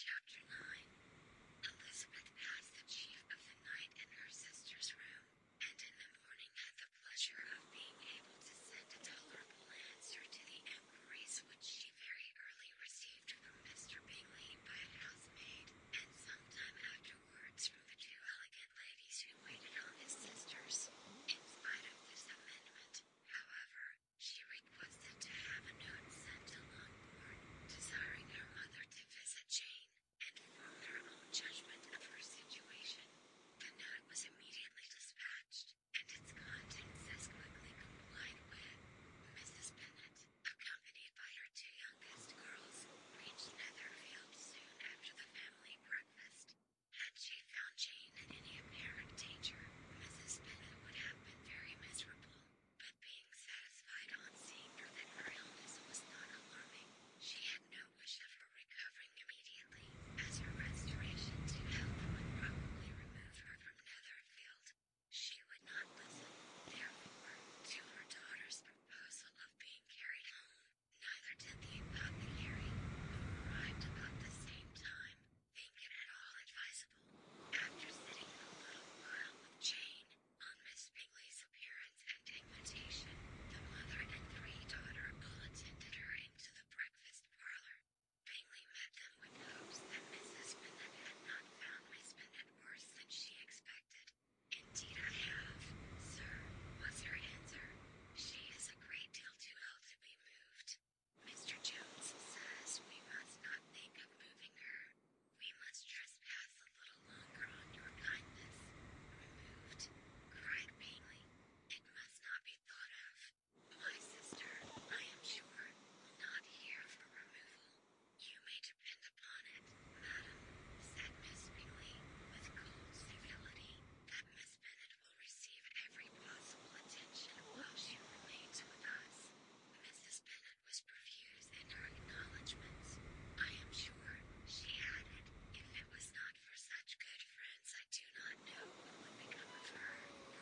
Chapter 9 Elizabeth passed the chief of the night in her sister's room, and in the morning had the pleasure of being able to send a tolerable answer to the inquiries which she very early received from Mr. Bingley by a housemaid, and some time afterwards from the two elegant ladies who she waited on his sisters. In spite of this amendment, however, she requested to have a note sent to Longbourn, desiring her mother to visit Jane, and form her own judgment of her situation. The note was immediately dispatched, and its contents as quickly complied with. Mrs. Bennet, accompanied by her two youngest girls, reached Netherfield soon after the family breakfast, had she found Jane in any apparent danger, Mrs. Bennet would have been very miserable, but being satisfied on seeing that her illness was not alarming, she had no wish of her recovering immediately, as her restoration to health would probably remove her from Netherfield. She would not listen, therefore, to her daughter's proposal of being carried home. Neither did the apothecary, who arrived about the same time, think it all advisable. After sitting a little while with Jane, on Miss Bingley's appearance and invitation, the mother and three daughters all attended her into the breakfast parlour. Bingley met them with hopes that Mrs. Bennet had not found Miss Bennet worse than she expected. Indeed, have, sir, was her answer. She is a great deal too ill to be moved. Mr. Jones says we must not think of moving her. We must trespass a little longer on your kindness. Removed, cried Bingley. It must not be thought of. My sister, I am sure, will not hear of her removal. You may depend upon it, madam, said Miss Bingley, with cold civility, that Miss spirit will receive every possible attention while she remains with us. Mrs. Bennet was profuse in her acknowledgments. I am sure, she added, if it was not for such good friends, I do not know what would become of her,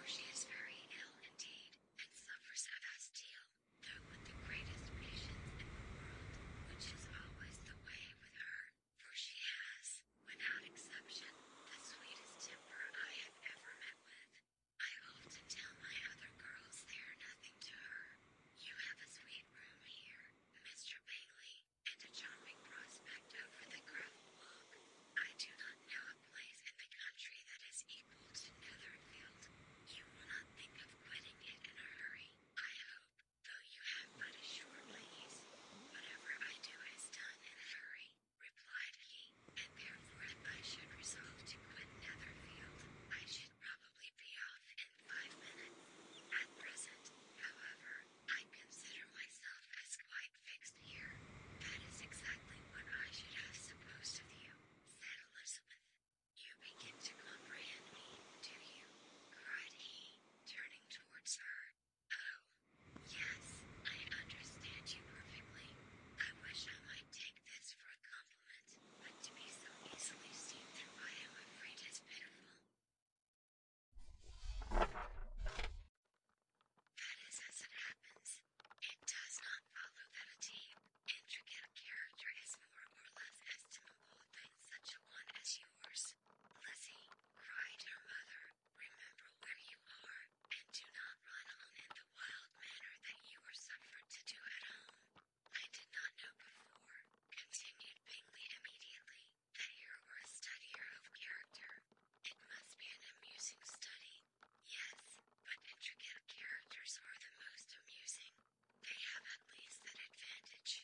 she is very ill indeed, and suffers a vast deal, though with the greatest patience in the world, which is always the way with her for she has, without exception, the sweetest temper I have ever met with. I often tell my other girls they are nothing to her. You have a sweet room here, Mr. Bailey, and a charming prospect over the gravel walk. I do not know a place in the country that is equal to Netherfield. You will not think of quitting it in a hurry, I hope, you have but a short ways. Whatever I do is done in a hurry, replied he, and therefore if I should resolve to quit Netherfield, I should probably be off in five minutes. At present, however, I consider myself as quite fixed here. That is exactly what I should have supposed of you, said Elizabeth. You begin to comprehend me, do you? cried he, turning towards her. Oh, yes, I understand you perfectly. I wish I might take this for a compliment, but to be so easily seen through, I am afraid is pitiful. That is as it happens. It does not follow that a deep, intricate character is more or less estimable than such a one as yours. Lizzie, cried her mother, Remember where you are, and do not run on in the wild manner that you were suffered to do at home. I did not know before, continued Bingley immediately, that you were a studier of character. It must be an amusing study. Yes, but intricate characters are the most amusing. They have at least that advantage.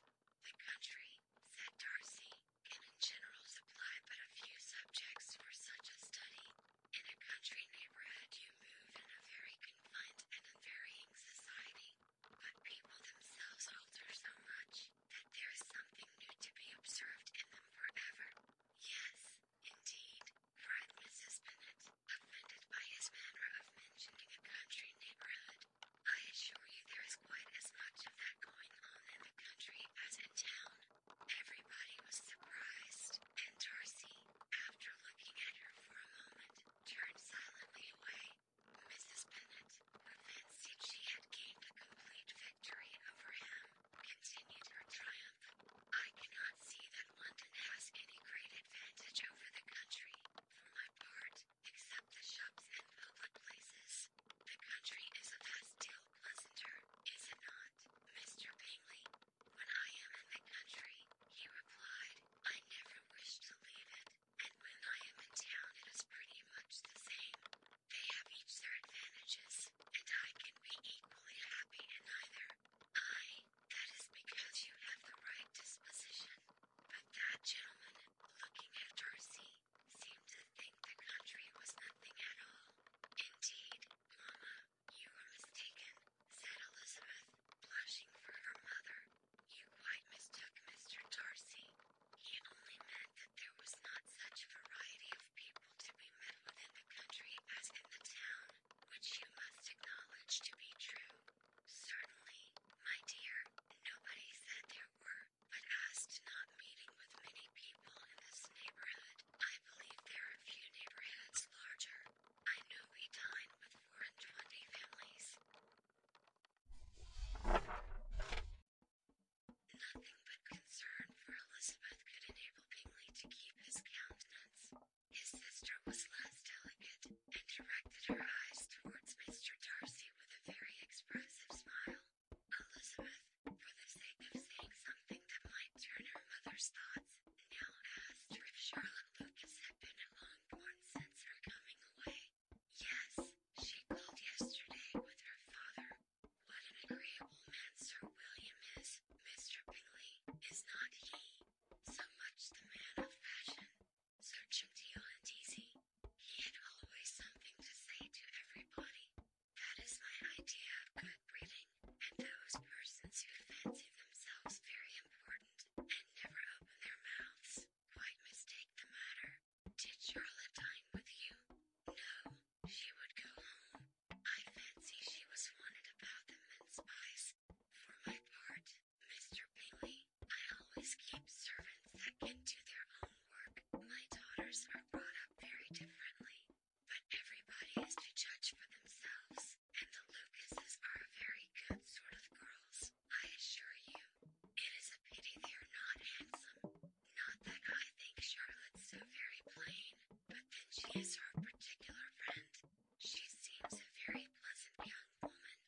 The country said Darcy, can in general supply but a few subjects for such a study. In a country neighborhood, you move in a very confined and unvarying society, but people themselves alter so much that there is something new to be observed in them forever. Yes, indeed, cried Mrs. Bennet, offended by his manner of mentioning a country neighborhood. I assure you there is quite as much of that going on in the country as in town. Everybody was surprised, and Darcy, after looking at her for a moment, turned silently away. Mrs. Bennet, who she had gained a complete victory over him, continued her triumph. I cannot see that London has any great advantage over the country, for my part, except the shops and public places. The country is a vast deal pleasanter, is it not, Mr. Bingley? When I am in the country, he replied, I never wish to leave it, and when I am in town, it is pretty much the same. They have each their advantages, and I can be equally happy in either. I, that is because you have the right disposition. But that gentleman, looking at Darcy, seemed to think the country was nothing at all. Indeed, Mama, you are mistaken, said Elizabeth, blushing for her mother. You quite mistook Mr. Darcy. He only meant that there was not such a variety of people to be met with in the country as in the town, which you must acknowledge to be true. Certainly, my dear, nobody said there were but as to not meeting with many people in this neighborhood, I believe there are few neighborhoods larger. I knew we with four and twenty families. Nothing but concern for Elizabeth could enable Bingley to keep his countenance. His sister was less delicate, and directed her eyes towards Mr. Darcy with a very expressive smile. Elizabeth, for the sake of saying something that might turn her mother's thoughts, now asked if Charlotte Lucas had been among one since her coming away. Yes, she called yesterday with her father. What an agreeable man Sir William is, Mr. Bingley, is not he? So much the man of fashion, so genteel and easy, he had always something to say to everybody. That is my idea of good breeding, and those persons who fancy themselves very important and never open their mouths quite mistake the matter. Did Charlotte dine with you? No, she would go home. I fancy she was wanted about the mince pies. For my part, Mr. Bailey, I always keep servants that can do their own my daughters are brought up very differently, but everybody is to judge for themselves, and the Lucases are very good sort of girls, I assure you. It is a pity they are not handsome. Not that I think Charlotte's so very plain, but then she is her particular friend. She seems a very pleasant young woman.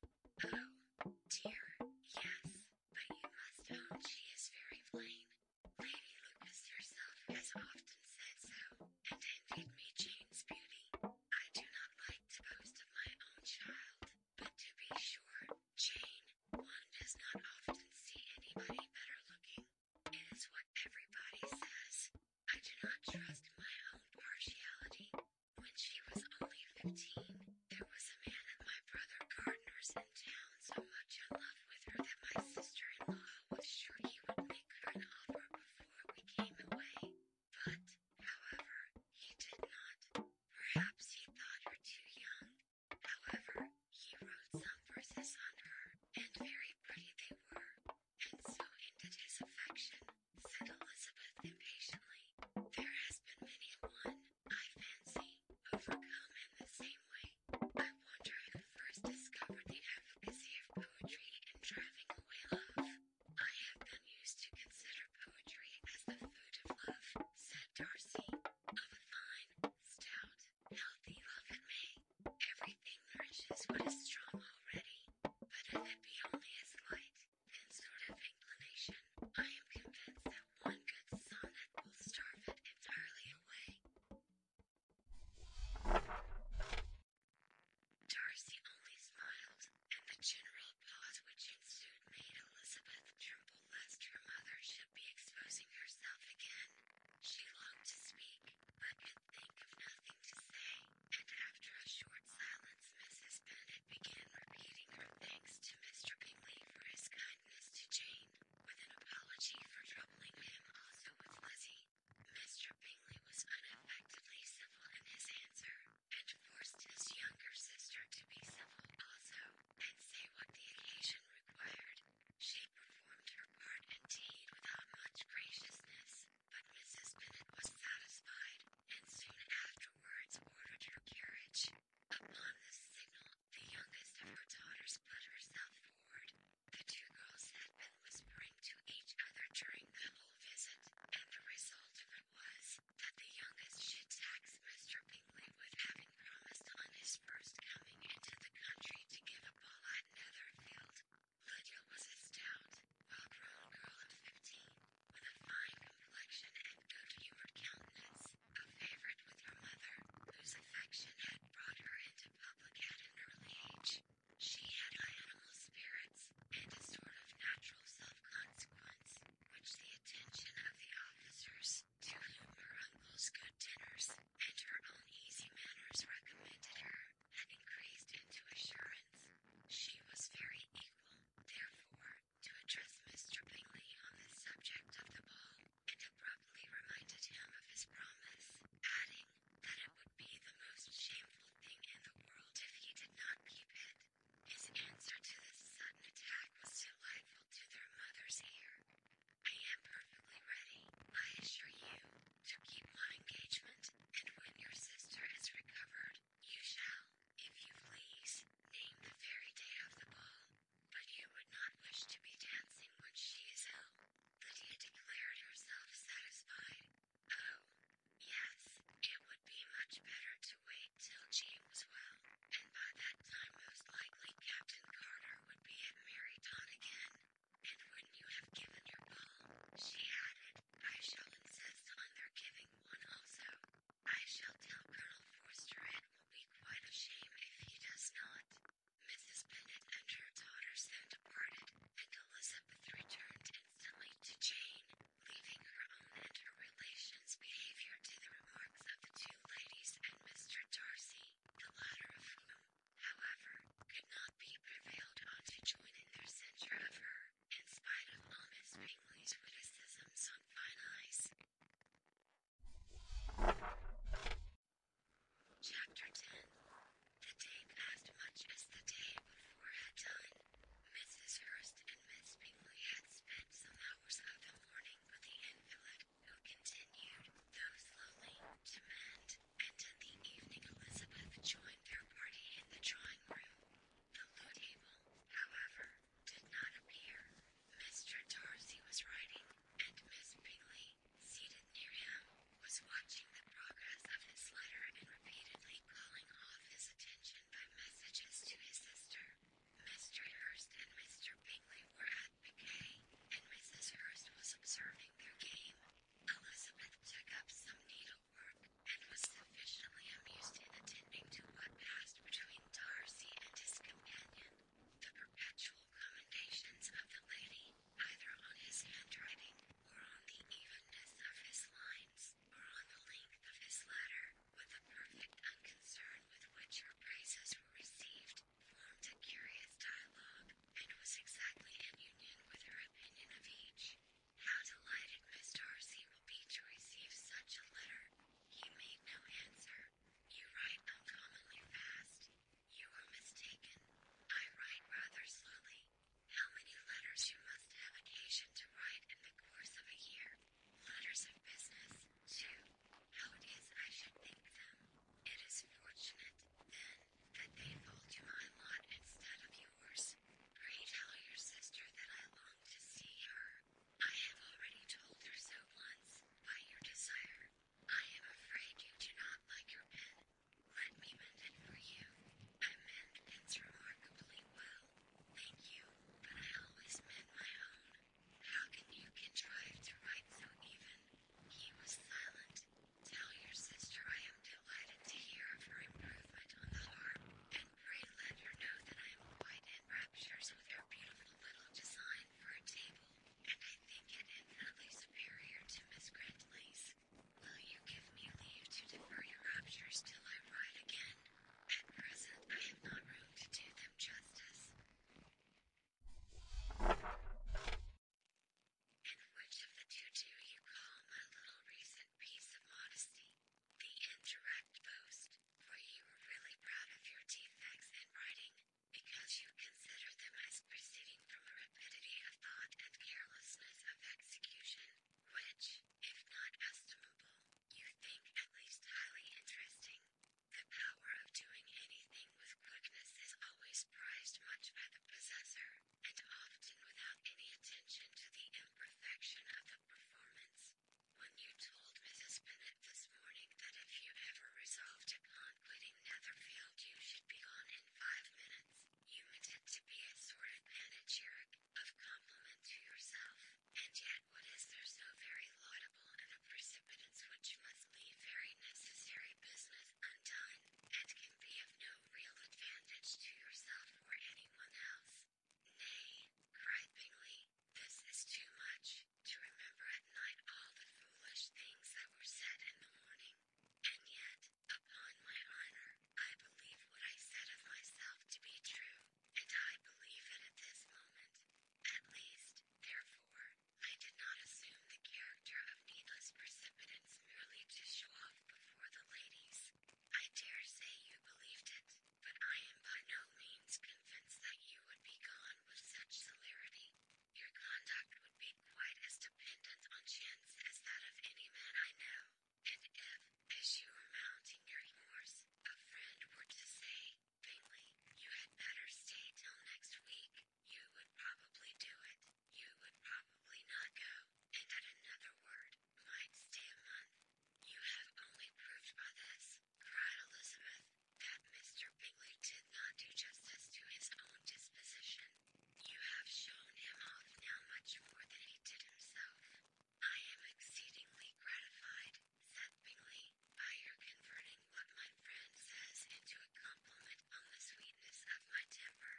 Oh, dear, yes, but you must own she is very plain. Lady Lucas herself has often said so, and envied me Jane's beauty. I do not like to boast of my own child, but to be sure, Jane, one does not often see anybody better looking. It is what everybody says. I do not trust my own partiality. When she was only fifteen, there was a man and my brother gardeners in town so much in love with her that my sister in law was sure he would make her an offer before we came away. But, however, he did not. Perhaps he thought her too young. However, he wrote some verses on her, and very pretty they were, and so ended his affection, said Elizabeth impatiently. There has been many a one I fancy, overcome in the same way. I wonder who first discovered the efficacy of poetry in driving away love. I have been used to consider poetry as the food of love, said Darcy, of a fine, stout, healthy love it may. Everything nourishes what is strong already, but if it be only as light, then sort of inclination, I am convinced that one good sonnet will starve it entirely away. Darcy only smiled, and the general pause which ensued made Elizabeth tremble lest her mother should be exposing herself again. She longed to speak, but could think of nothing to say, and after a short silence, Mrs. Bennet began repeating her thanks to Mr. Bingley for his kindness to Jane complained, with an apology for troubling him also with Lizzie. Mr. Bingley was unaffectedly civil in his answer, and forced his younger sister to be civil also, and say what the occasion required. She performed her part indeed without much graciousness, but Mrs. Bennet was satisfied, and soon afterwards ordered her carriage. Upon this signal the youngest of her daughters put herself forward. The two girls had been whispering to each other during the whole visit, and the result of it was that the youngest should tax Mr. Bingley with having promised on his first coming into the country to give a ball at Netherfield. Lydia was a stout, well-grown girl of fifteen, with a fine complexion and good-humoured countenance favored with her mother, whose affection had brought her into public at an early age. She had high animal spirits, and a sort of natural self-consequence, which the attention of the officers, to whom her uncle's good dinners, and her own easy manners recommended her, had increased into assurance. She was very equal, therefore, to address Mr. Bingley on the subject of the ball, and abruptly reminded him of his promise, adding that it would be the most shameful thing in the world if he did not keep it. His answer to this sudden attack was delightful to their mother's ear. I am perfectly ready, I assure you, to keep my engagement, and when your sister is recovered, you shall, if you please, name the very day of the ball, but you would not wish to be dancing when she is ill. Lydia declared herself satisfied. Oh, yes, it would be much better to wait till Jean was well, and by that time, most likely, Captain Carter would be at Meryton again. And when you have given your ball, she added, I shall insist on their giving one also. I shall tell Colonel Forster and it will be quite a shame if he does not. Mrs. Bennet and her daughters then departed, and Elizabeth returned instantly to Jane, leaving her own and her relations' behavior to the remarks of the two ladies and Mr. Darcy, the latter of whom, however, could not be prevailed on to join in their censure of her, in spite of all Miss Bingley's on fine eyes. Chapter 10 The day passed much as the day before had done. Mrs. Hurst and Miss Bingley had spent some hours of the morning with the invalid, who continued, though slowly, to mend, and in the evening Elizabeth joined their party in the drawing room. The loo table, however, did not appear. Mr. Darcy was writing, and Miss Bingley, seated near him, was watching the progress of his letter and repeatedly calling off his attention by messages to his sister. Mr. Hurst and Mr. Bingley were at piquet, and Mrs. Hurst was observing their game. Elizabeth took up some needlework, and was sufficiently amused in attending to what passed between Darcy and his companion the perpetual commendations of the lady, either on his handwriting, or on the evenness of his lines, or on the length of his letter, with the perfect unconcern with which her praises were received, formed a curious dialogue, and was exactly in union with her opinion of each. How delighted Miss Darcy will be to receive such a letter! He made no answer, you write uncommonly fast. You are mistaken. I write rather slowly. How many letters you must have occasion to write in the course of a year? Letters of business, too. How it is I should think them. It is fortunate, then, that they fall to my lot instead of yours. Pray tell your sister that I long to see her. I have already told her so once, by your desire. I am afraid you do not like your pen. Let me mend it for you. I mend pens remarkably well. Thank you, but I always mend my own. How can you contrive to write so even? He was silent. Tell your sister I am delighted to hear of her improvement on the harp, and pray let her know that I am quite in raptures with her beautiful little design for a table, and I think it infinitely superior to Miss Grantley's. Will you give me leave to defer your raptures till I ride again? At present, I have not room to do them justice. And which of the two do you call my little recent piece of modesty? The indirect boast, for you were really proud of your defects in writing, because you consider them as proceeding from a rapidity of thought and carelessness of execution, which, if not estimable, you think at least highly interesting. The power of doing anything with quickness is always prized much by the possessor, and often without any attention to the imperfection of the performance. When you told Mrs. Bennet this morning that if you ever resolved upon quitting Netherfield, you should be gone in five minutes, you meant it to be a sort of panegyric, of compliment to yourself, and yet what is there so very laudable in a precipitance which must leave very necessary business undone, and can be of no real advantage to yourself or anyone else? Nay, cried Bingley, this is too much to remember at night all the foolish things that were said in the morning, and yet, upon my honor, I believe what I said of myself to be true, and I believe it at this moment. At least, therefore, I did not assume the character of needless precipitance merely to show off before the ladies. I dare say you believed it, but I am by no means convinced that you would be gone with such celerity, your conduct would be quite as dependent on chance as that of any man I know. And if, as you were mounting your horse, a friend were to say, faintly, you had better stay till next week, you would probably do it. You would probably not go, and at another word, might stay a month. You have only proved by this Proud Elizabeth, that Mr. Bingley did not do justice to his own disposition. You have shown him off now much more than he did himself. I am exceedingly gratified, said Bingley, by your converting what my friend says into a compliment on the sweetness of my temper.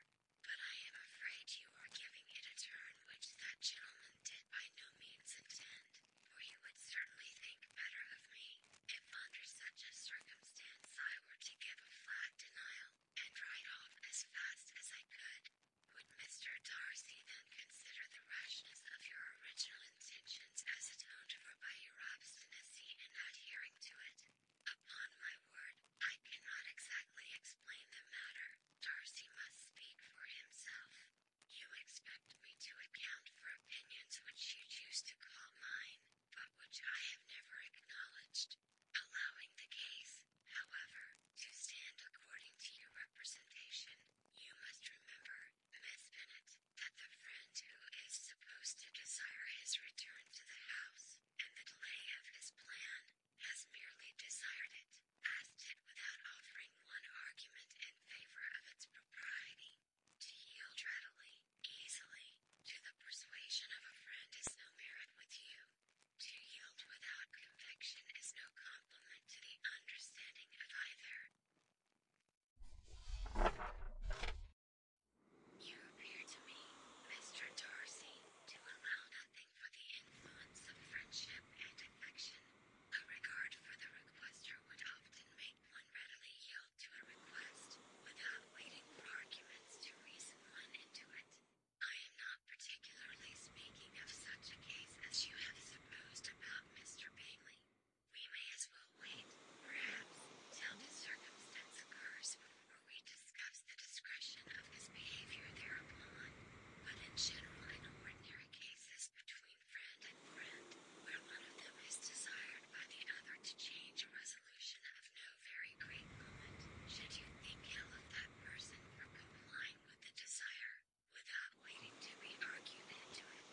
But I am afraid you are giving it a turn which that gentleman did by no means intend who oh, you would certainly think better of me, if under such a circumstance I were to give a flat denial, and ride off as fast as I could. Would Mr. Darcy then consider the rashness of your original intentions as atoned for by your obstinacy in adhering to it? Upon my word, I cannot exactly explain the matter. Darcy must speak for himself. You expect me to account for opinions which you choose to call mine, but which I have never acknowledged, allowing the case, however, to stand according to your representation. You must remember, Miss Bennet, that the friend who is supposed to desire his return to the house, and the delay of his plan, has merely desired it, asked it without offering one argument in favor of its propriety. To yield readily, easily, to the persuasion of a friend is no merit with you. To yield without conviction is no compliment to the understanding of either. You appear to me, Mr. Darcy, to allow nothing for the influence of friendship and affection. A regard for the requester would often make one readily yielded to a request, without waiting for arguments to reason one into it. I am not particularly speaking of such a case as you have supposed about Mr. Bailey. We may as well wait, perhaps, till the circumstance occurs before we discuss the discretion of his behavior thereupon. But in general, in ordinary cases between friend and friend, where one of them is desired by the other to change a resolution of no very great moment, should you think ill of that person for complying with the desire, without waiting to be argued into it,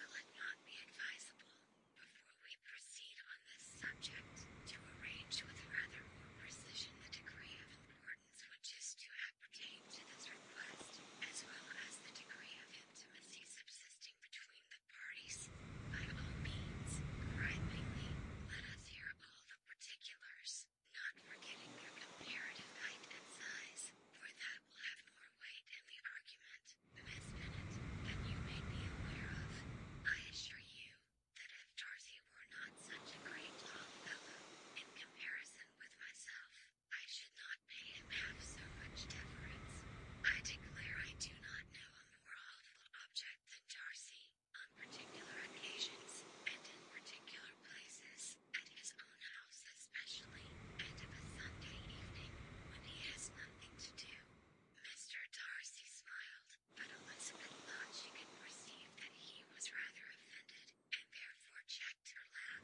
will it not be advisable, before we proceed on this subject, to arrange with rather more precision the degree of importance which is to appertain to this request, as well as the degree of importance intimacy subsisting between the parties. By all means, cried Bingley, let us hear all the particulars, not forgetting their comparative height and size, for that will have more weight in the argument, Miss Bennet, than you may be aware of. I assure you that if Darcy were not such a great tall fellow, in comparison with myself, I should not pay him half so much deference. I declare I do not know a more awful object than Darcy, on particular occasions, and in particular places, at his own house especially, and of a Sunday evening, when he has nothing to do. Mr. Darcy smiled, but Elizabeth thought she could perceive that he was rather offended, and therefore checked to laugh.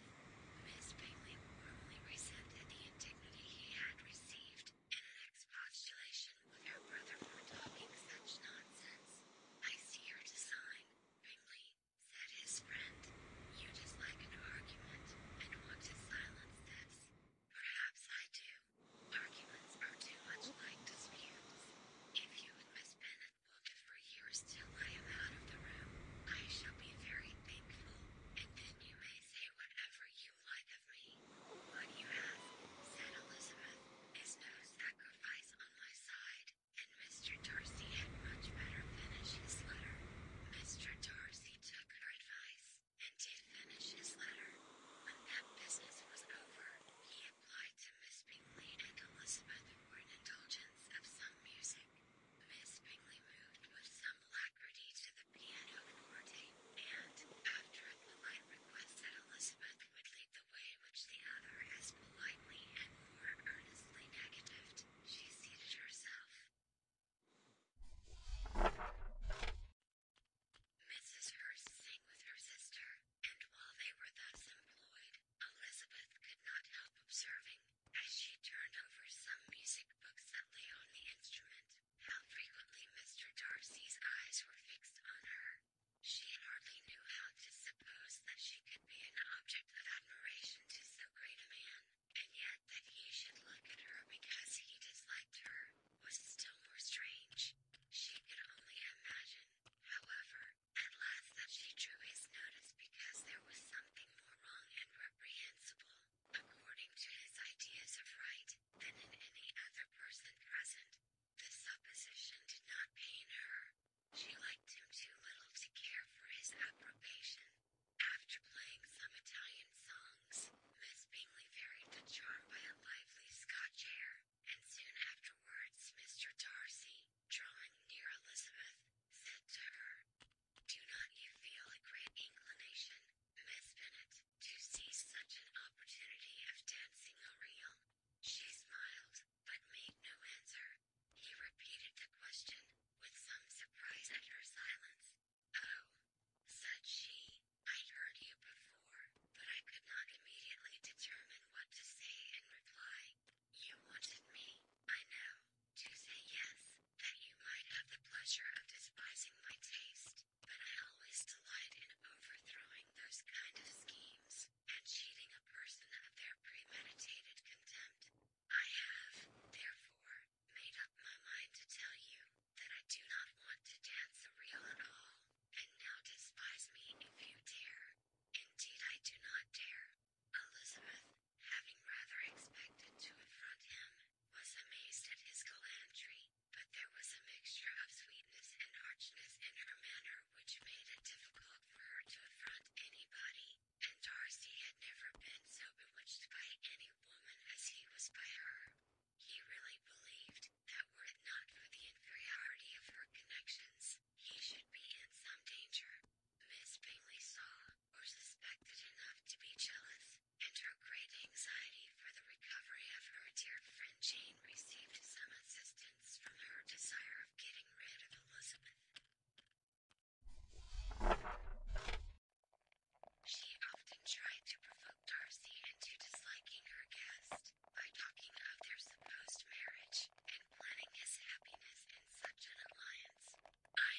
Miss Bingley warmly resented the indignity he had received, in an expostulation with her brother for talking such nonsense. I see your design, Bingley, said his friend. You dislike an argument, and want to silence this. Perhaps I do. Arguments are too much like disputes. If you and Miss Bennet it for years till I am out of the room, I shall be very thankful, and then you may say whatever you like of me. What you have, said Elizabeth, is no sacrifice on my side, and Mr. Darcy had much better finish his letter. Mr. Darcy took her advice, and did finish his letter. When that business was over, he applied to Miss Bingley and Elizabeth for an indulgence of some music. Miss Bingley moved with some alacrity to the pianoforte, and, after a polite request that Elizabeth would lead the way which the other as politely and more earnestly negatived, she seated herself. Mrs. Hurst sang with her sister, and while they were thus employed, Elizabeth could not help observing as she turned over some music books that lay on the instrument, how frequently Mr. Darcy's eyes were fixed on her. She hardly knew how to suppose that she could be an object of admiration to so great a man, and yet that he should look at her because he disliked her was still more strange. She could only imagine, however, at last that she drew his notice because there was something more wrong and reprehensible according to his ideas of right, than in any other person present. The supposition did not pain her. She liked him too little to care for his approbation. After playing some Italian songs, Miss Bingley varied the charm by a lively Scotch air, and soon afterwards Mr. Darcy, drawing near Elizabeth, said to her, do not you feel a great inclination, Miss Bennet, to seize such an opportunity of dancing a reel? She smiled, but made no answer. He repeated the question, with some surprise at her silence. Oh, said she, i heard you before, but I could not immediately determine what to say in reply. You wanted me, I know, to say yes, that you might have the pleasure of despising my taste, but I always delight in overthrowing those kind of schemes, and cheating a person of their premeditated contempt. I have, therefore, made up my mind to tell you that I do not want to dance the reel at all, and now despise me if you dare. Indeed, I do not dare, Elizabeth, having rather expected to affront him, was amazed at his gallantry, but there was a mixture of sweetness and archness in her manner which made it difficult for her to affront anybody, and Darcy had never been so bewitched by any woman as he was by her. He really believed that were it not for the inferiority of her connections, he should be in some danger. Miss Bingley saw or suspected enough to be jealous, and her great anxiety for the recovery of her dear friend Jane received some assistance from her desire of getting rid of Elizabeth. She often tried to provoke Darcy into disliking her guest by talking of their supposed marriage and planning his happiness in such an alliance. I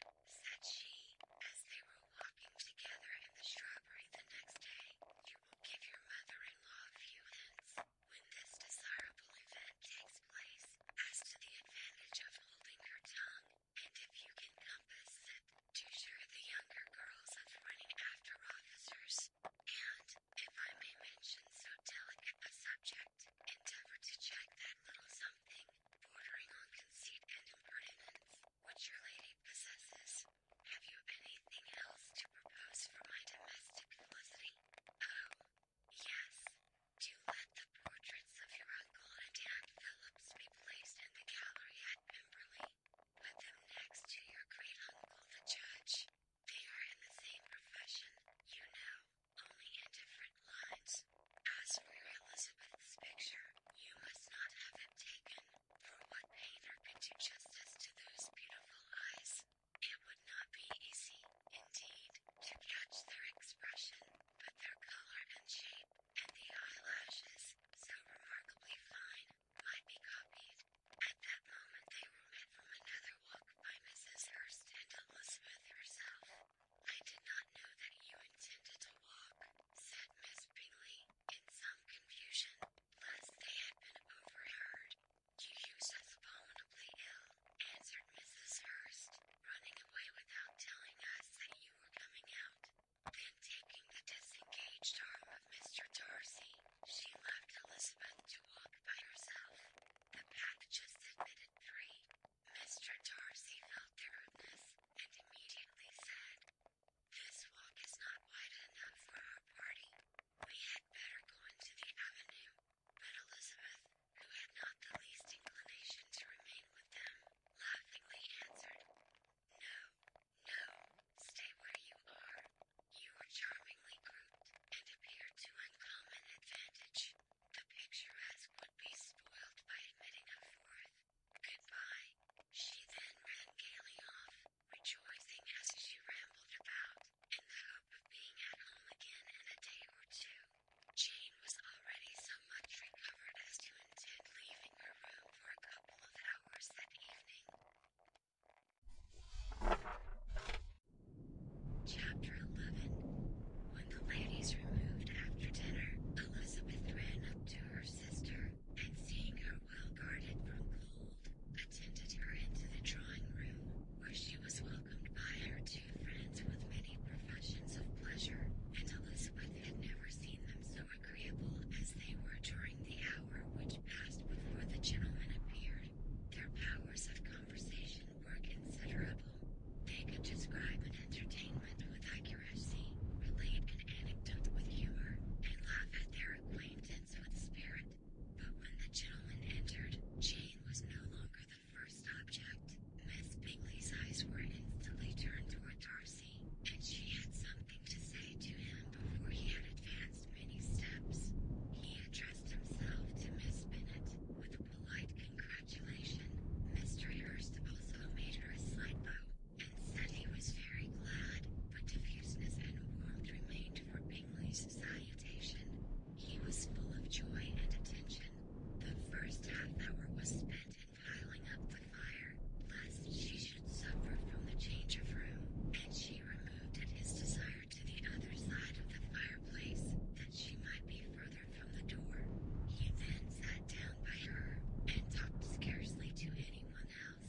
hope, said she, as they were walking together in the strawberry the next day, you will give your mother in law a few hints when this desirable event takes place as to the advantage of holding her tongue, and if you can compass it, to sure the younger girls of running after officers, and, if I may mention so delicate a subject, endeavor to check that little something bordering on conceit and impertinence, which your lady possesses. Have you anything else to propose for my domestic felicity? Oh, yes. To let the portraits of your uncle and Aunt Phillips be placed in the gallery at Pemberley. Put them next to your great uncle, the judge. They are in the same profession, you know, only in different lines. As for Elizabeth's picture, you must not have it taken, for what painter could do justice to those beautiful eyes? It would not be easy, indeed, to catch their expression, but their color and shape, and the eyelashes, so remarkably fine, might be copied. At that moment, they were met from another walk by Mrs. Hurst and Elizabeth herself. I did not know that you intended to walk, said Miss Bingley, in some confusion, lest they had been overheard. You useth abominably ill, answered Mrs. Hurst, running away without telling us that you were coming out. Then taking the disengaged arm of Mr. Darcy, she left Elizabeth to walk by herself. The just admitted three, Mr. Darcy felt the rudeness, and immediately said, This walk is not wide enough for our party. We had better go into the avenue. But Elizabeth, who had not the least inclination to remain with them, laughingly answered, No, no, stay where you are. You are charmingly grouped, and appear to uncommon advantage. The picturesque would be spoiled by admitting a fourth. Goodbye. She then ran gaily off, rejoicing as she rambled about, in the hope of being at home again in a day or two. Jane was already so much recovered as to intend leaving her room for a couple of hours that evening. Chapter 11 when the ladies removed after dinner, Elizabeth ran up to her sister, and seeing her well guarded from cold, attended her into the drawing room, where she was welcomed by her two friends with many professions of pleasure, and Elizabeth had never seen them so agreeable as they were during the hour which passed before the gentlemen appeared. Their powers of conversation were considerable. They could describe an entertainment with accuracy, relate an anecdote with humor, and laugh at their acquaintance with spirit. But when the gentleman entered, Jane was no longer the first object. Miss Bingley's eyes were instantly turned toward Darcy, and she had something to say to him before he had advanced many steps. He addressed himself to Miss Bennet with polite congratulations. Mr. Hurst also made her a slight bow, and said he was very glad, but diffuseness and warmth remained for Bingley's salutation. He was full of joy and attention. The first half hour was spent in piling up the fire, lest she should suffer from the change of room, and she removed at his desire to the other side of the fireplace, that she might be further from the door. He then sat down by her, and talked scarcely to anyone else.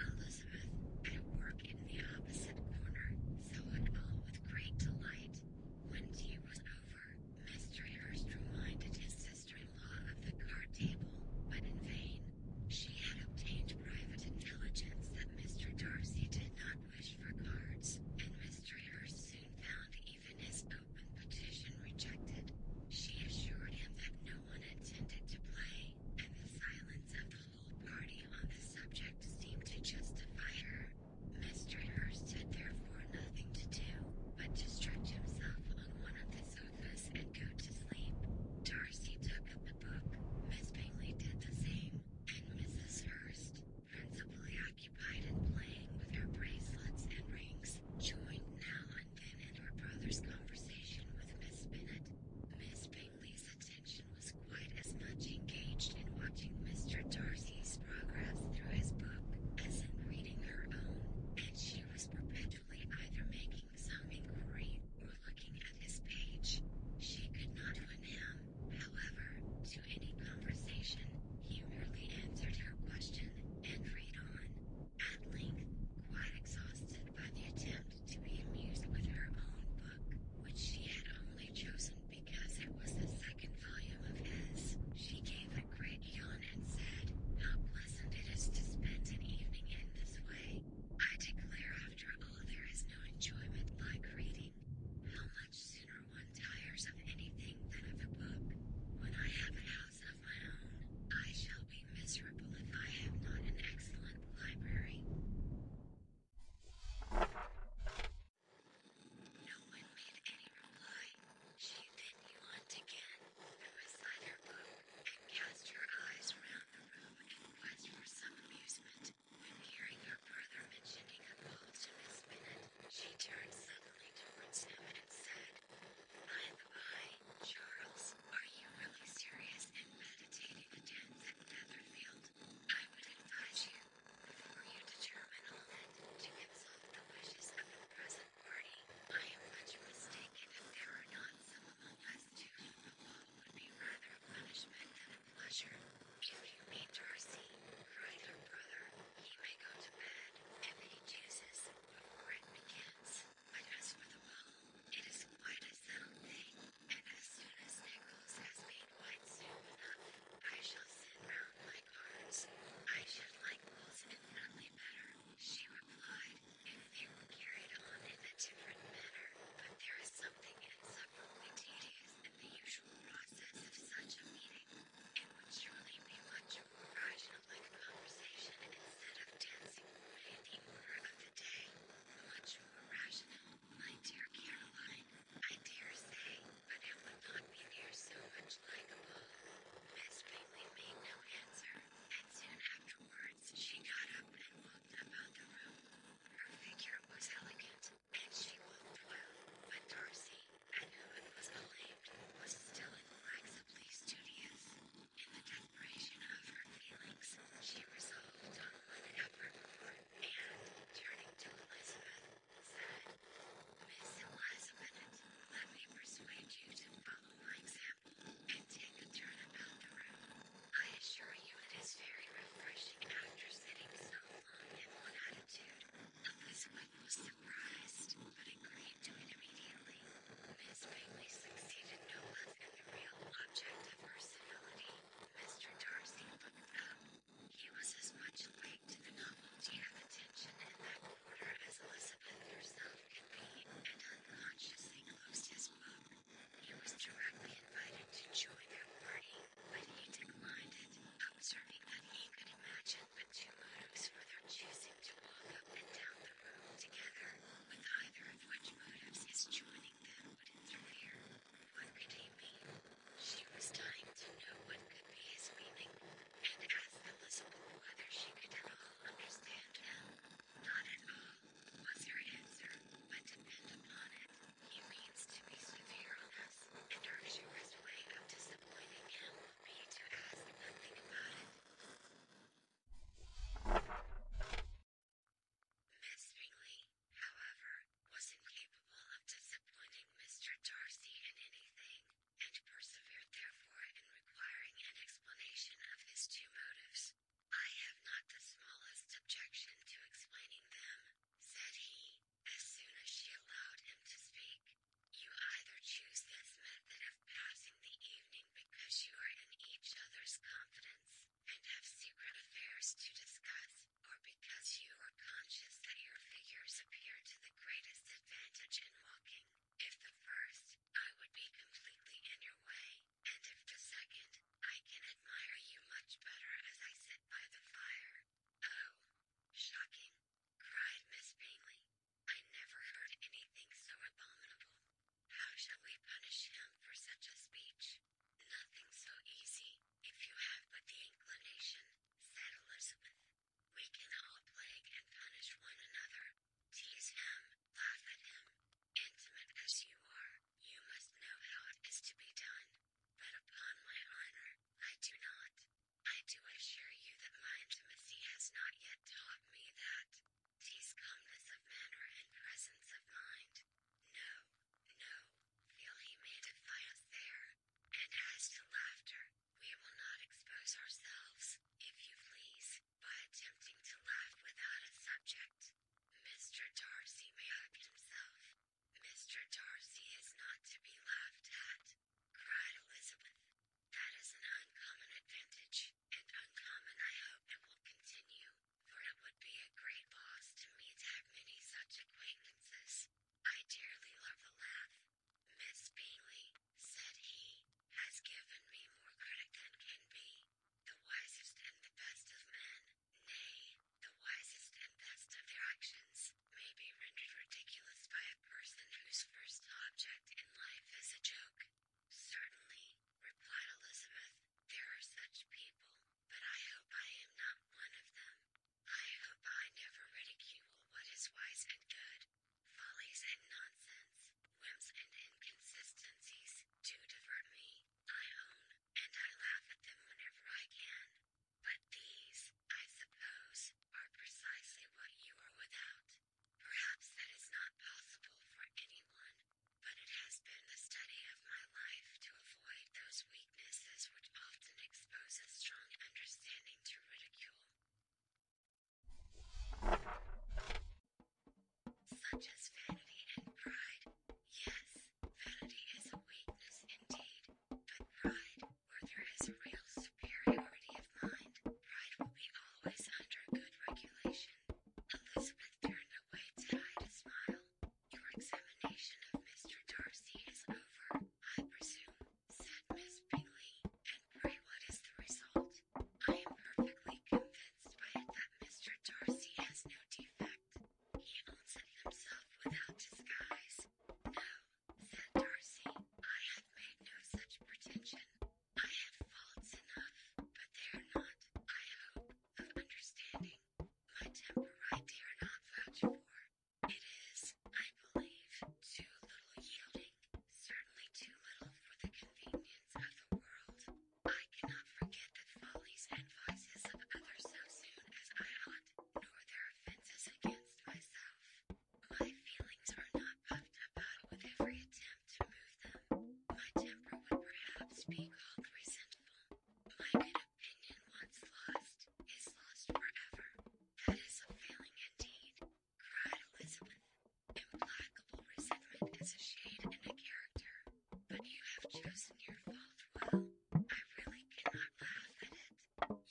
Elizabeth, at work in the opposite corner, saw it all with great delight. When tea was over, Mr. Hurst reminded his sister-in-law of the card table, but in vain. She had obtained private intelligence that Mr. Darcy did not wish for cards, and Mr. Hurst soon found even his open petition rejected. She assured him that no one intended to play, and the silence of the whole party on the subject seemed to justify her. Mr. Hurst had therefore nothing to do but to stretch himself on one of the sofas and go to sleep. Darcy took up the book, Miss Bingley did the same, and Mrs. Hurst, principally occupied in playing with her bracelets and rings, joined now and then in her brother's conversation with Miss Bennet. Miss Bingley's attention was quite as much engaged in watching Mr. Darcy's progress through his book as in reading her own, and she was perpetually either making some inquiry or looking at his page. She could not win him, however, to any conversation. He merely answered her question and read on. At length, quite exhausted by the attempt to be amused with her own book, which she had only chosen because it was the second volume of his, she gave a great yawn and said, How pleasant it is to spend an evening in this way. I declare, after all, there is no enjoyment like reading. How much no one made any reply. She then yawned again, threw aside her book, and cast her eyes round the room in quest for some amusement. hearing her brother mentioning a call to Miss Bennet, she turned suddenly towards him and said, By the by, Charles, are you really serious in meditating attends at Netherfield? I would advise you, before you determine all that, to consult the wishes of the present party. I am much mistaken if there are not some among us to whom the walk would be rather a punishment than a pleasure. If you meet Darcy, write her brother, he may go to bed, if he chooses, before it begins. But as for the bottle, it is quite a sound thing, and as soon as Nicholas has made wine soup enough, I shall sit round my cards. I should like those infinitely better, she replied, if they were carried on in a different manner. But there is something insufferably tedious in the usual process of such a meeting. It would surely be much more rational, marginal conversation instead of dancing away the order of the day. Much more rational, my dear Caroline. I dare say, but it would not be near so much like a ball. Miss Bingley made no answer, and soon afterwards she got up and walked about the room. Her figure was elegant, and she looked well, but Darcy, I know it was Elaine was still in Lexably In the desperation of her feelings, she resolved on an effort and, turning to Elizabeth, said, Miss Elizabeth, let me persuade you to follow my example and take a turn about the room. I assure you it is very refreshing after sitting so long in one attitude. Elizabeth was but agreed to it immediately. Miss Bingley succeeded no less in the real object of her civility. Mr. Darcy looked up. He was as much late to the novelty of attention in that quarter as Elizabeth herself could be, and unconsciously closed his book. He was directly invited to join their party, but he declined it, observing that he could imagine the two motives for their choosing to walk up and down the road together, with either of which motives his joining them would interfere. What could he be? She was dying to know what could be his meaning, and asked Elizabeth whether she could at all understand him. Not at all, was her answer, but depend upon it. He means to be severe on us, and arduous way of disappointing him Miss Bingley, however, was incapable of disappointing Mr. Darcy in anything, and persevered therefore in requiring an explanation of his two motives. I have not the smallest objection to explaining them, said he, as soon as she allowed him to speak, you either choose this method of passing the evening because you are in each other's confidence and have secret affairs to discuss, or because you are conscious that your figures appear to the greatest advantage in walking. If the first, I would be completely in your way, and if the second, I can admire you much better as I sit by the fire. Oh, shocking! cried Miss Bingley. I never heard anything so abominable. How shall we punish him for such a speech? Nothing so easy, if you have but the inclination, said Elizabeth. We can all plague and punish one another. Tease him, laugh at him. Intimate as you are, you must know how it is to be done. But upon my honor, I do not. I do assure you that my intimacy has not yet taught me that. Tease calmness of manner and presence of mind. No, no, feel he may defy us there. And as to laughter, we will not expose ourselves, if you please, by attempting to laugh without a subject. Mr. Darcy may help himself. Mr. Darcy is not to be laughed at. Cried Elizabeth. That is an uncommon advantage, and uncommon I hope it will continue, for it would be a great loss to me to have many such acquaintances. I dearly love the laugh. Miss Bingley, said he, has given me more credit than can be. The wisest and the best of men, nay, the wisest and best of their actions, may be rendered ridiculous by a person whose first object in life is a joke. Certainly, replied Elizabeth, there are such people, but I hope I am not one of them. I hope I never ridicule what is wise and good, follies and nonsense, whims and inconsistencies, do divert me, I own, and I laugh at them whenever I can. But these, I suppose, are precisely what you are without. Perhaps that is not possible for anyone, but it has been the study of my life to avoid those weaknesses which often expose a strong understanding to ridicule. Such as vanity and pride. Yes, vanity is a weakness indeed, but pride, where there is a real superiority of mind. Pride will be always under good regulation. Elizabeth turned away to hide a smile. Your examination of Mr. Darcy is over, I presume, said Miss Bingley. And pray, what is the result? I am perfectly convinced by it that Mr. Darcy has no defect. He owns it himself without disguise. No, said Darcy, I have made no such pretension. I have faults enough, but they are not, I hope, of understanding. My temper I dare not vouch for. It is, I believe, too little yielding, certainly too little for the convenience of the world. I cannot forget the follies and vices of others so soon as I ought nor their offenses against myself. My feelings are not puffed about with every attempt to move them. My temper would perhaps be called resentful. My good opinion, once lost, is lost forever. That is a failing indeed, cried Elizabeth. Implacable resentment is a shade and a character, but you have chosen your fault well. I really cannot laugh at it.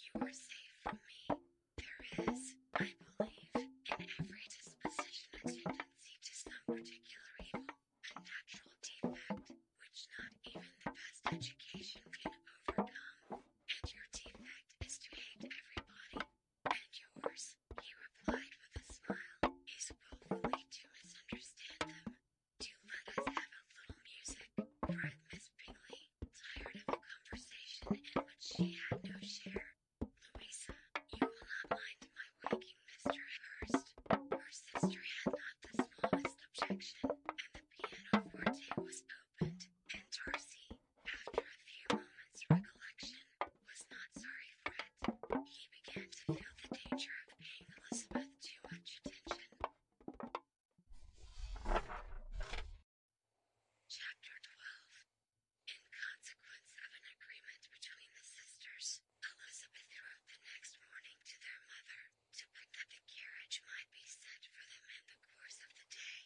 You are safe from me. There is, I believe, in every disposition a tendency to some particular evil, a natural defect which not even the best education can overcome. And your defect is to hate everybody. And yours, he replied with a smile, is willfully to misunderstand them. Do let us have a little music, cried Miss Bingley tired of the conversation in which she had no share. Louisa, you will not mind my waking Mr. Hurst. Her sister had not the smallest objection, and the piano pianoforte was opened, and Darcy, after a few moments' recollection, was not sorry for it. He began to feel the danger of paying Elizabeth too much attention. Chapter 12 In consequence of an agreement between the sisters, Elizabeth wrote the next morning to their mother to put that the carriage might be sent for them in the course of the day.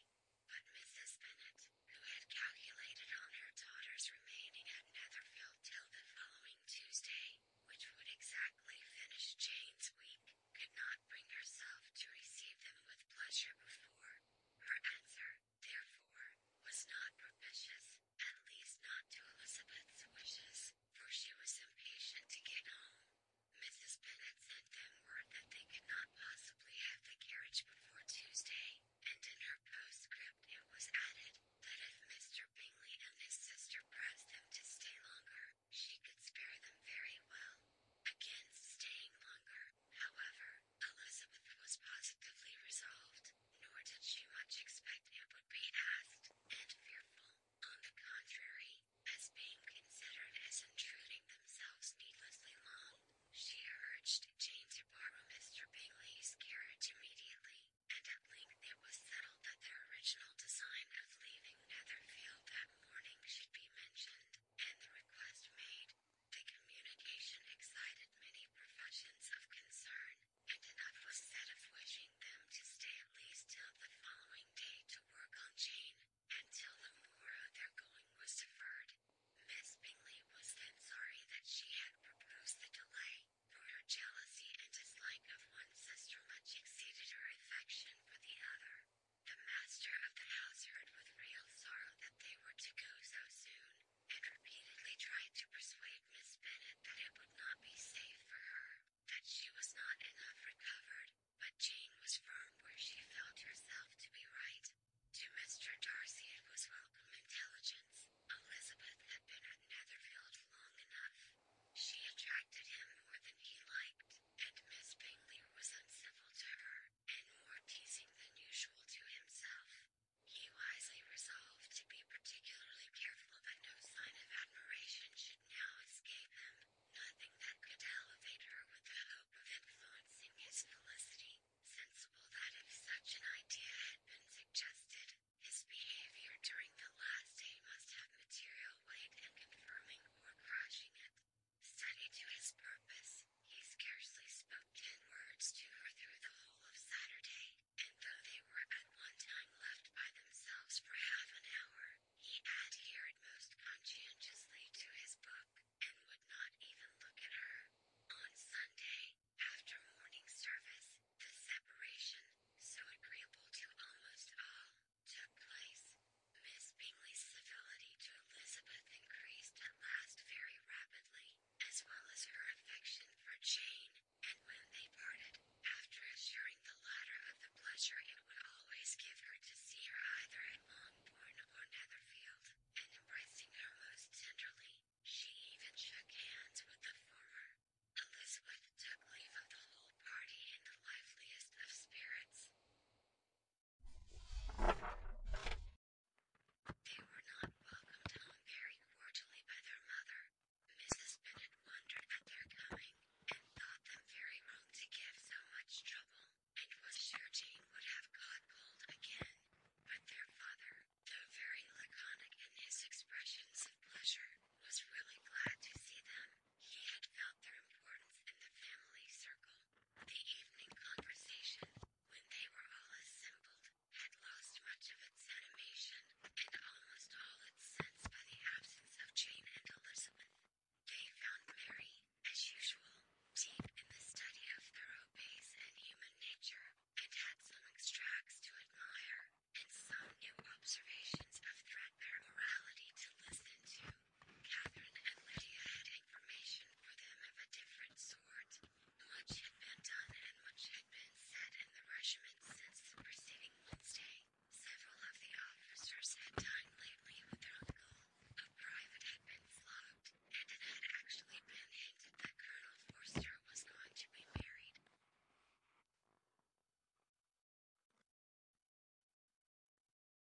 But Mrs. Bennet, who had calculated on her daughter's remaining at Netherfield till the following Tuesday, which would exactly finish Jane's week, could not bring herself to receive them with pleasure before. Her answer, therefore, was not propitious, at least not to Elizabeth's wishes, for she was impatient to get home. Mrs. Bennet sent them word that they could not possibly have the carriage before Tuesday, and in her postscript it was added that if Mr. Bingley and his sister pressed them to stay longer, she could spare them very well again staying longer. However, Elizabeth was positively resolved, nor did she much expect it would be asked, and fearful, on the contrary, as being considered as intruding themselves needlessly long. She urged Jane to borrow Mr. Bingley's carriage immediately, and at length it was settled that their original design of leaving Netherfield that morning should be mentioned and the request made, the communication excited many professions of concern, and enough was said of wishing them to stay at least till the following day to work on Jane, until the more their going was deferred. Miss Bingley was then sorry that she had proposed the delay, for her jealousy and dislike of one sister much exceeded her affection for the other. The master of the house heard with real sorrow that they were to go so soon, and repeatedly tried to persuade Miss Bennet that it would not be safe for her, that she was not enough recovered, but Jane was firm where she felt herself to be right. To Mr. Darcy it was welcome intelligence. Elizabeth had been at Netherfield long enough. She attracted him more than he liked, and Miss Bingley was uncivil to her and more teasing than usual to himself. He wisely resolved to be particularly careful that no sign of admiration should now escape him, nothing that could elevate her with the hope of influencing his felicity, sensible that if such an idea had been suggested, his behavior during the last day must have material weight in confirming or crushing it. Steady to his purpose, he scarcely spoke ten words to her through the whole of Saturday, and though they were at one time left by themselves for half an hour, he adhered most conscientiously to his book, and would not even look at her. On Sunday, after morning service, the separation, so agreeable to almost all, took place. Miss Bingley's civility to Elizabeth increased at last very rapidly, as well as her affection for Jane, and when they parted, after assuring the latter of the pleasure it would always give her to see her either at Longbourn or Netherfield, and embracing her most tenderly, she even shook hands with the former. Elizabeth took leave of the whole party in the liveliest of spirits. They were not welcomed home very cordially by their mother. Mrs. Bennet wondered at their coming, and thought them very wrong to give so much trouble, and was sure Jane would have caught cold again. But their father, though very laconic in his expressions of pleasure, was really glad to see them. He had felt their importance in the family circle, the evening conversation, when they were all assembled, had lost much of its animation, and almost all its sense by the absence of Jane and Elizabeth. They found Mary, as usual, deep in the study of Thoreau's and human nature, and had some extracts to admire, and some new observations of threadbare morality to listen to. Catherine and Lydia had information for them of a different sort. Much had been done and much had been said in the regiment since the preceding Wednesday. Several of the officers had died lately with their uncle. A private had been flogged, and it had actually been hinted that Colonel Forster was going to be married.